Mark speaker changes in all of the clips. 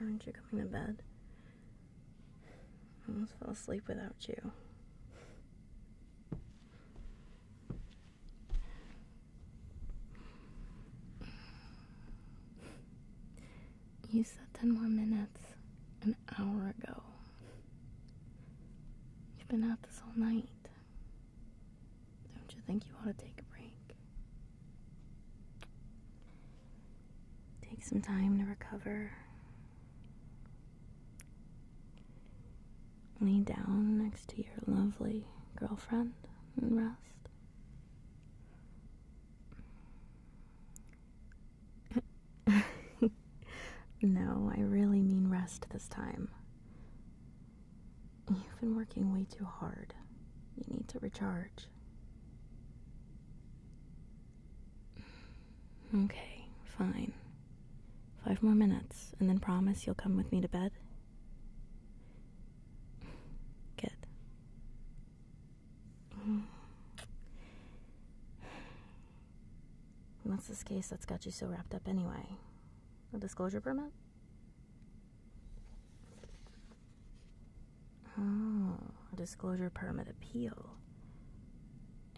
Speaker 1: Aren't you coming to bed? I almost fell asleep without you. You said 10 more minutes an hour ago. You've been out this all night. Don't you think you want to take a break? Take some time to recover. Lie down next to your lovely girlfriend and rest. no, I really mean rest this time. You've been working way too hard. You need to recharge. Okay, fine. Five more minutes, and then promise you'll come with me to bed? Good. What's this case that's got you so wrapped up anyway? A disclosure permit? Oh, a disclosure permit appeal.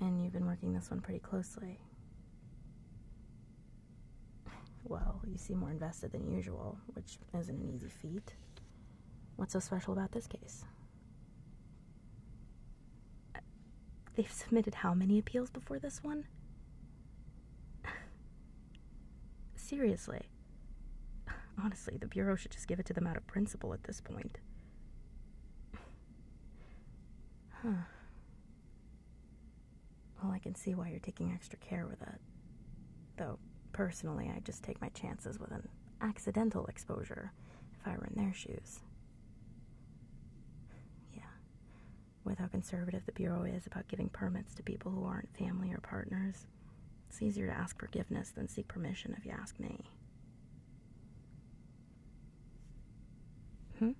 Speaker 1: And you've been working this one pretty closely. Well, you seem more invested than usual, which isn't an easy feat. What's so special about this case? they've submitted how many appeals before this one? Seriously. Honestly, the Bureau should just give it to them out of principle at this point. Huh. Well, I can see why you're taking extra care with it. Though, personally, I just take my chances with an accidental exposure if I were in their shoes. Yeah. With how conservative the Bureau is about giving permits to people who aren't family or partners, it's easier to ask forgiveness than seek permission, if you ask me. Hmm?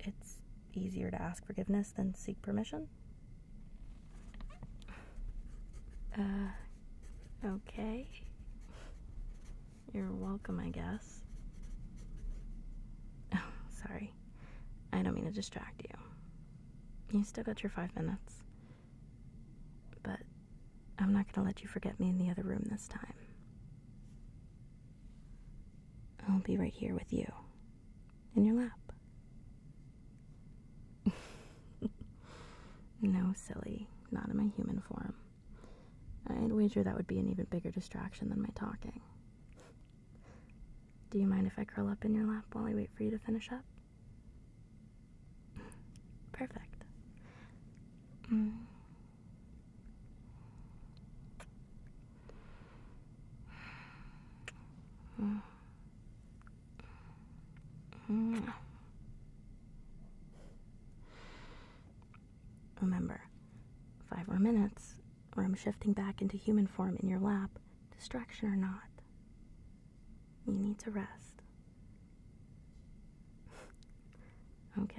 Speaker 1: It's easier to ask forgiveness than seek permission? Uh, okay. You're welcome, I guess. sorry. I don't mean to distract you. You still got your five minutes. But I'm not going to let you forget me in the other room this time. I'll be right here with you, in your lap. no, silly, not in my human form. I'd wager that would be an even bigger distraction than my talking. Do you mind if I curl up in your lap while I wait for you to finish up? Perfect. Mm. Mm. Mm. Remember, five more minutes, or I'm shifting back into human form in your lap, distraction or not. You need to rest. okay.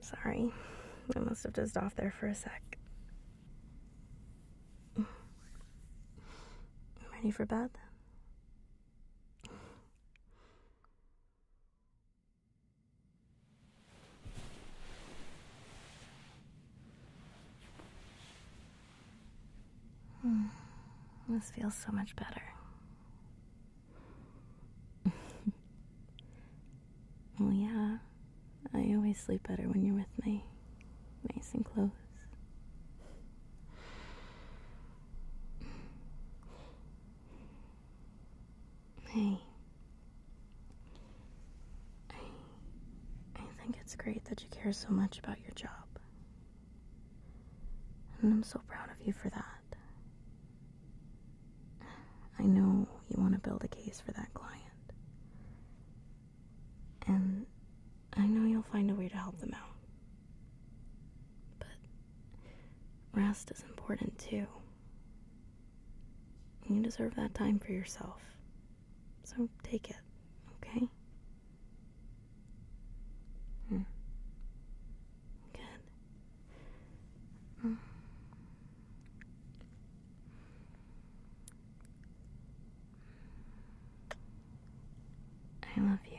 Speaker 1: Sorry, I must have dozed off there for a sec. Ready for bed? Hmm, this feels so much better. Oh yeah. I always sleep better when you're with me. Nice and close. Hey. I I think it's great that you care so much about your job. And I'm so proud of you for that. I know you want to build a case for that client. And I know you'll find a way to help them out. But rest is important too. You deserve that time for yourself. So take it, okay? Hmm. Good. Mm. I love you.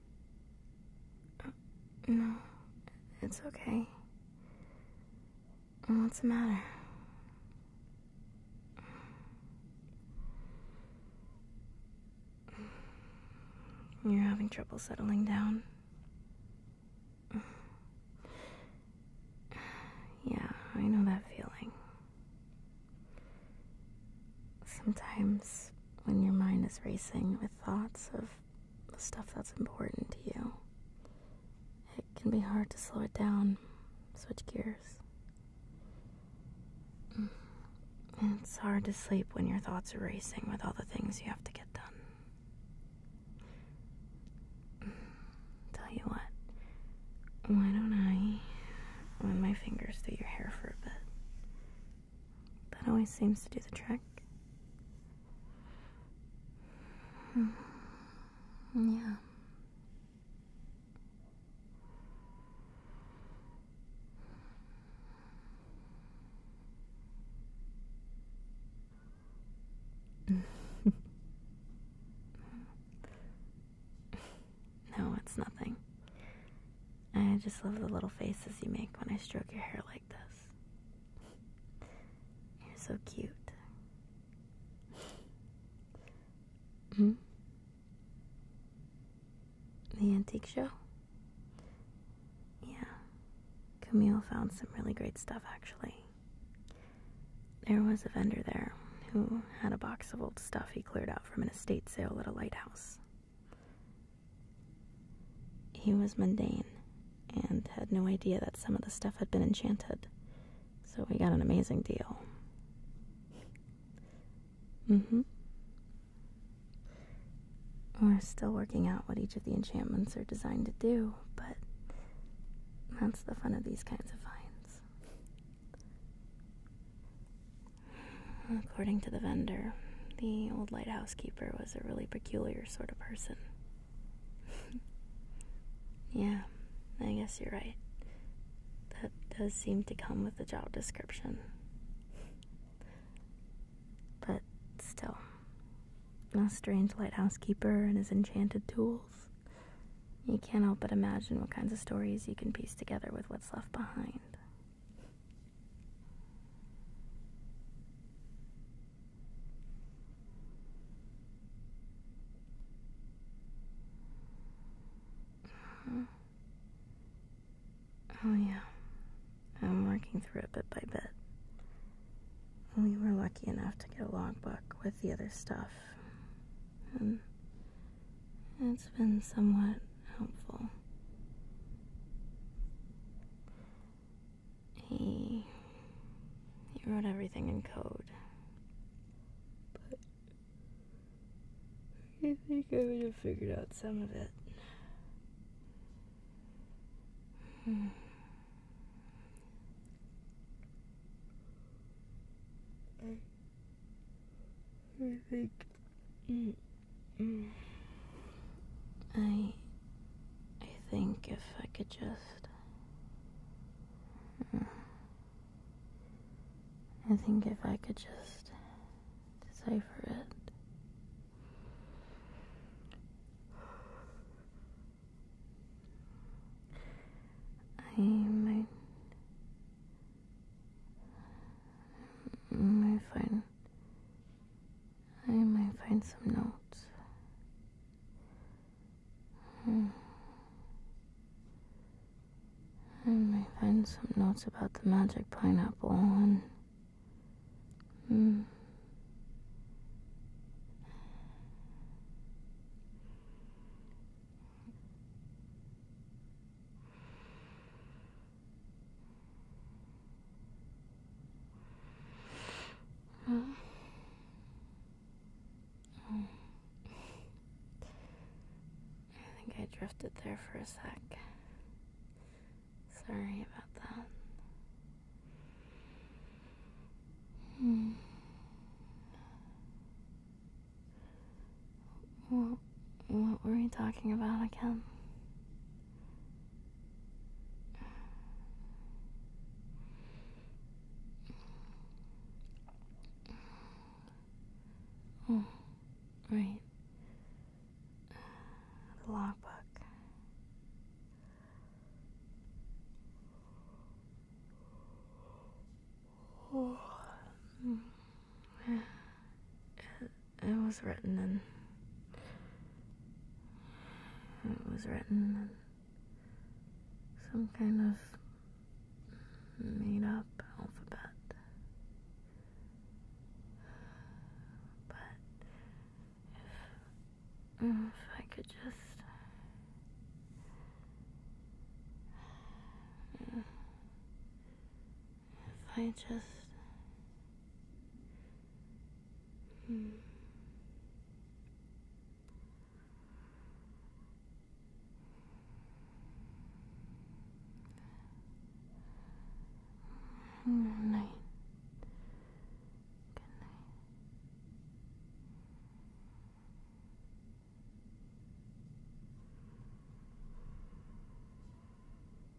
Speaker 1: No, it's okay. What's the matter? You're having trouble settling down? Yeah, I know that feeling. Sometimes when your mind is racing with thoughts of the stuff that's important to you, it can be hard to slow it down, switch gears. Mm. it's hard to sleep when your thoughts are racing with all the things you have to get done. Mm. Tell you what, why don't I run my fingers through your hair for a bit? That always seems to do the trick. Hmm. Yeah. no, it's nothing. I just love the little faces you make when I stroke your hair like this. You're so cute. Hmm? The antique show? Yeah. Camille found some really great stuff, actually. There was a vendor there who had a box of old stuff he cleared out from an estate sale at a lighthouse. He was mundane and had no idea that some of the stuff had been enchanted, so we got an amazing deal. Mm-hmm. We're still working out what each of the enchantments are designed to do, but that's the fun of these kinds of finds. According to the vendor, the old lighthouse keeper was was a really peculiar sort of person. yeah, I guess you're right. That does seem to come with the job description. But still, a strange lighthouse keeper and his enchanted tools. You can't help but imagine what kinds of stories you can piece together with what's left behind. Oh, yeah. I'm working through it bit by bit. We were lucky enough to get a logbook with the other stuff. And it's been somewhat helpful. He he wrote everything in code. But I think I would have figured out some of it. Hmm. I think Mm, mm. I. I think if I could just. Mm. I think if I could just decipher it. I might, might find I might find some notes. Hmm. I might find some notes about the magic pineapple and. Huh? Oh. I think I drifted there for a sec. Sorry about that. Hmm what were we talking about again? Oh, right. logbook. Oh it was written in. It was written in some kind of made up alphabet. But if I could just if I just. Hmm. night. Good night.